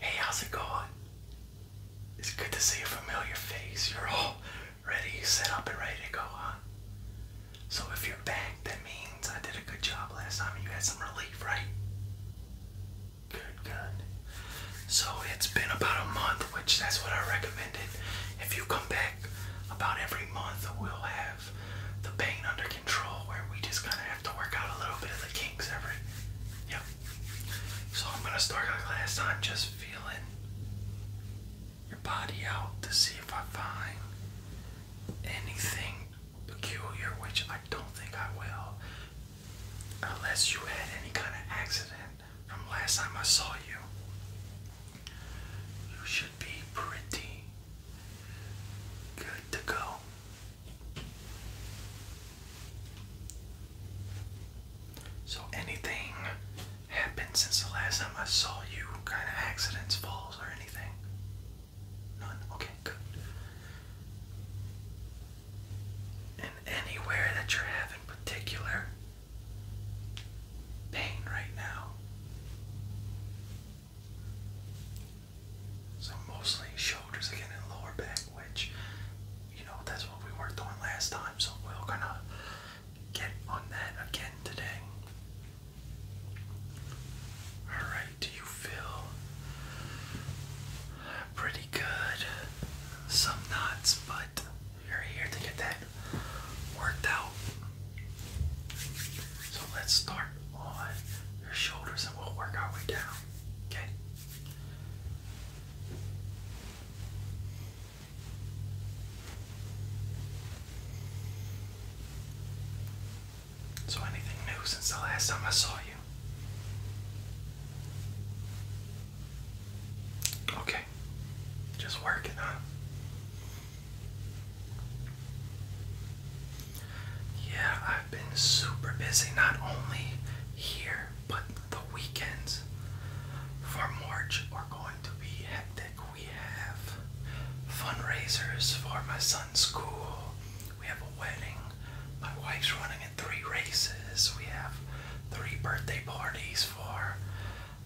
Hey, how's it going? It's good to see a familiar face. You're all ready, set up, and ready to go, huh? So if you're back, that means I did a good job last time and you had some relief, right? Good, good. So it's been about a month, which that's what I recommended. If you come back about every month, we'll have the pain under control where we just kind of have to work out a little bit of the kinks of Yep. So I'm going to start like last time just feeling your body out to see if I find anything peculiar, which I don't think I will. Unless you had any kind of accident from last time I saw you. You should be pretty good to go. So, anything happened since the last time I saw you? Kind of accidents, falls, or anything? None? Okay, good. And anywhere that you're having particular pain right now? So mostly shoulders again and lower back, which you know that's what we worked on last time. So we're gonna get on that again today. All right, do you feel pretty good? Some knots, but you're here to get that worked out. So let's start on your shoulders and we'll work our way down. Okay? So, anything new since the last time I saw you? Okay. Just working, huh? Yeah, I've been super busy not only here but the weekends for March are going to be hectic. We have fundraisers for my son's school, we have a wedding, my wife's running in three races, we have three birthday parties for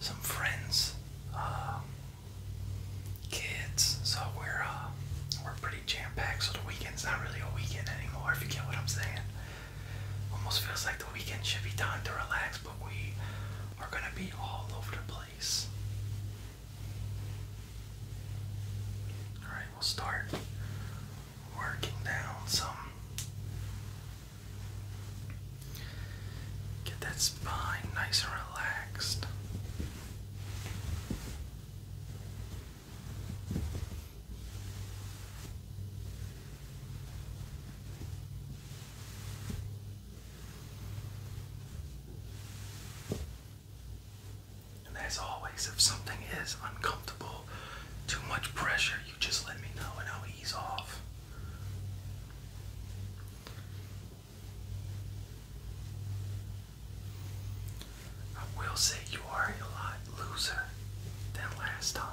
some friends. Um, kids. So we're uh, we're pretty jam packed. So the weekend's not really a weekend anymore. If you get what I'm saying. Almost feels like the weekend should be time to relax, but we are gonna be all over the place. Alright, we'll start working down some. Get that spine nice and relaxed. And as always, if something is uncomfortable, too much pressure, you just let me know and I'll ease off. I will say you are a lot looser than last time.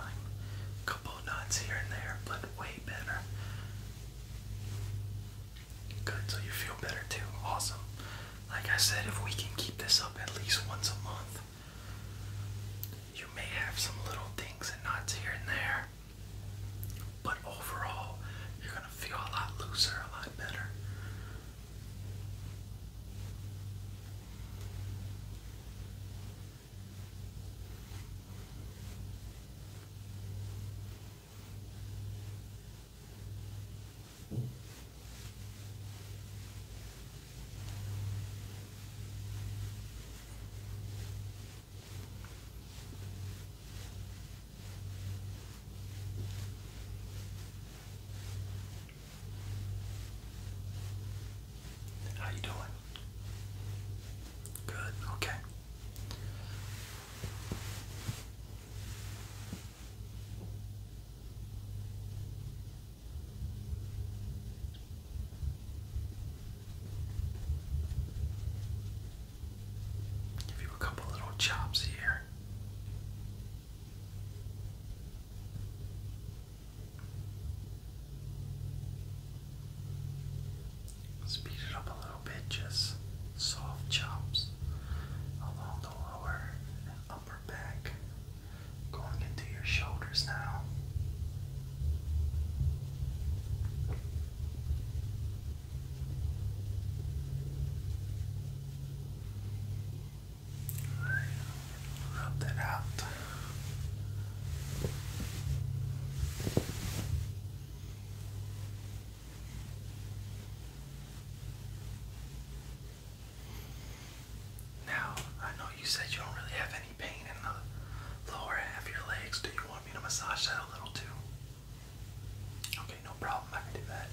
Couple nuts here and there, but way better. Good, so you feel better too. Awesome. Like I said, if we can keep this up at least once a month, you may have some little things and knots here and there. But overall, you're going to feel a lot looser, a lot better. How you doing? Good. Okay. Give you a couple little chops here. Speed it up a little bit, just soft chops along the lower upper back, going into your shoulders now. Rub that out. Now, I know you said you don't really have it lower half your legs? Do you want me to massage that a little too? Okay, no problem. I can do that.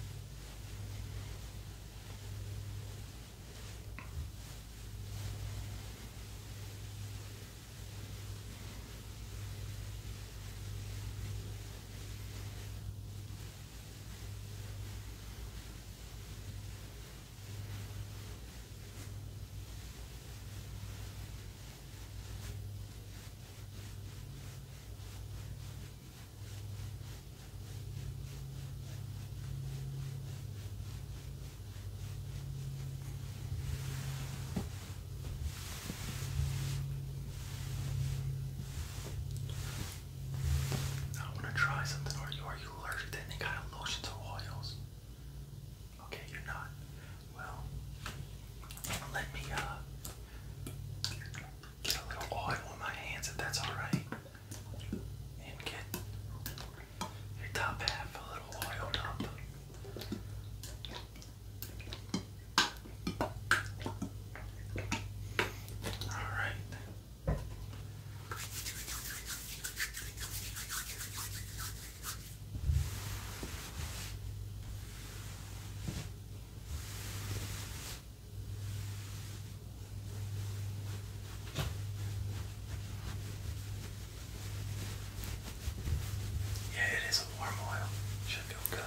I want to try something. Are you are you allergic to any kind of lotions or oils? Okay, you're not. Well, let me uh get a little oil on my hands if that's alright. And get your top half a little oiled up. Alright. Yeah, it is a warm oil. Should feel good.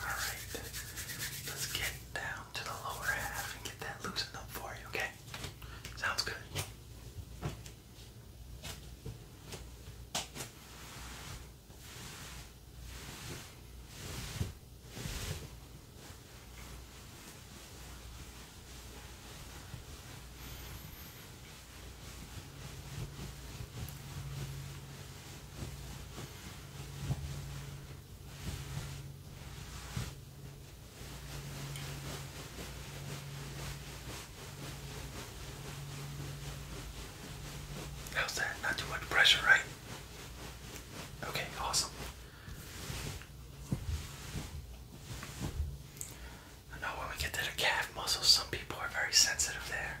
Alright. Let's get down to the lower half and get that loosened up for you, okay? Sounds good. How's that? Not too much pressure, right? Okay, awesome. I when we get to the calf muscles, some people are very sensitive there.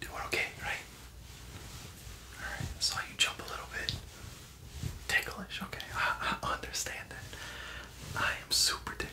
It okay, right? Alright, I saw you jump a little bit. Ticklish, okay. I, I understand that. I am super ticklish.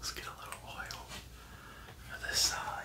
Let's get a little oil for this side.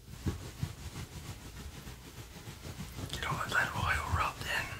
Get all of that oil rubbed in. All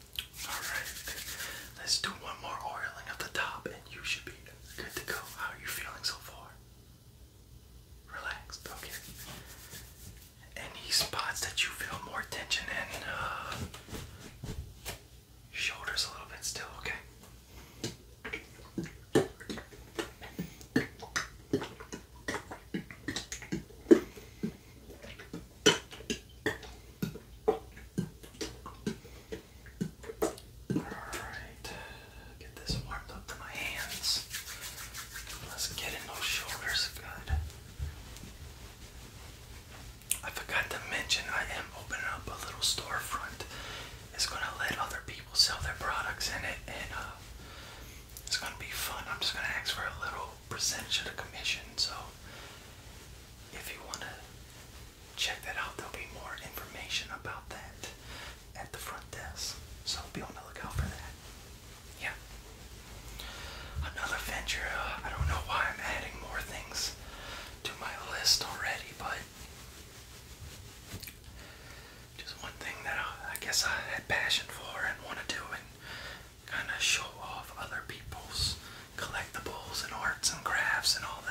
Alright, let's do one more oiling of the top and you should be good to go. How are you feeling so far? Relaxed, okay. Any spots that you feel more tension in? Uh, shoulders a little bit still, okay? Alright, get this warmed up to my hands. Let's get in those shoulders good. I forgot to mention I am opening up a little storefront. It's gonna let other people sell their products in it and uh, it's gonna be fun. I'm just gonna ask for a little percentage of the commission, so if you want to check that out, there'll be more information about that at the front desk. So be on the lookout for that. Yeah. Another venture. I don't know why I'm adding more things to my list already, but just one thing that I, guess I had passion for and want to do, and kind of show off other people's collectibles and arts and crafts and all that.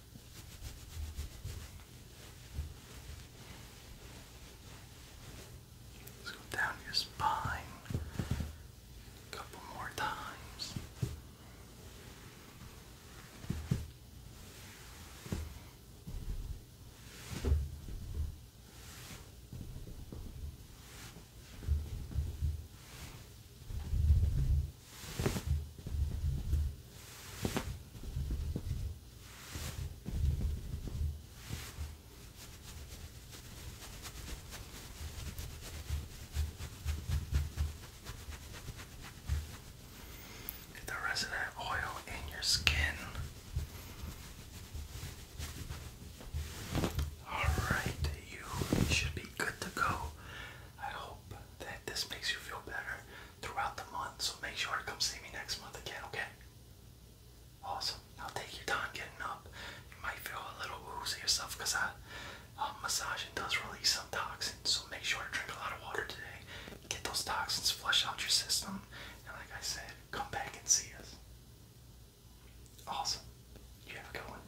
Let's go down your spine a couple more times. Good. Get the rest oil in your skin. Alright, you should be good to go. I hope that this makes you feel better throughout the month. So make sure to come see me next month again, okay? Awesome. I'll take your time getting up. You might feel a little woozy yourself because I um, uh, massaging does release some toxins. So make sure to drink a lot of water today. Get those toxins flush out your system. And like I said, come back and see us. Awesome. You have a good one.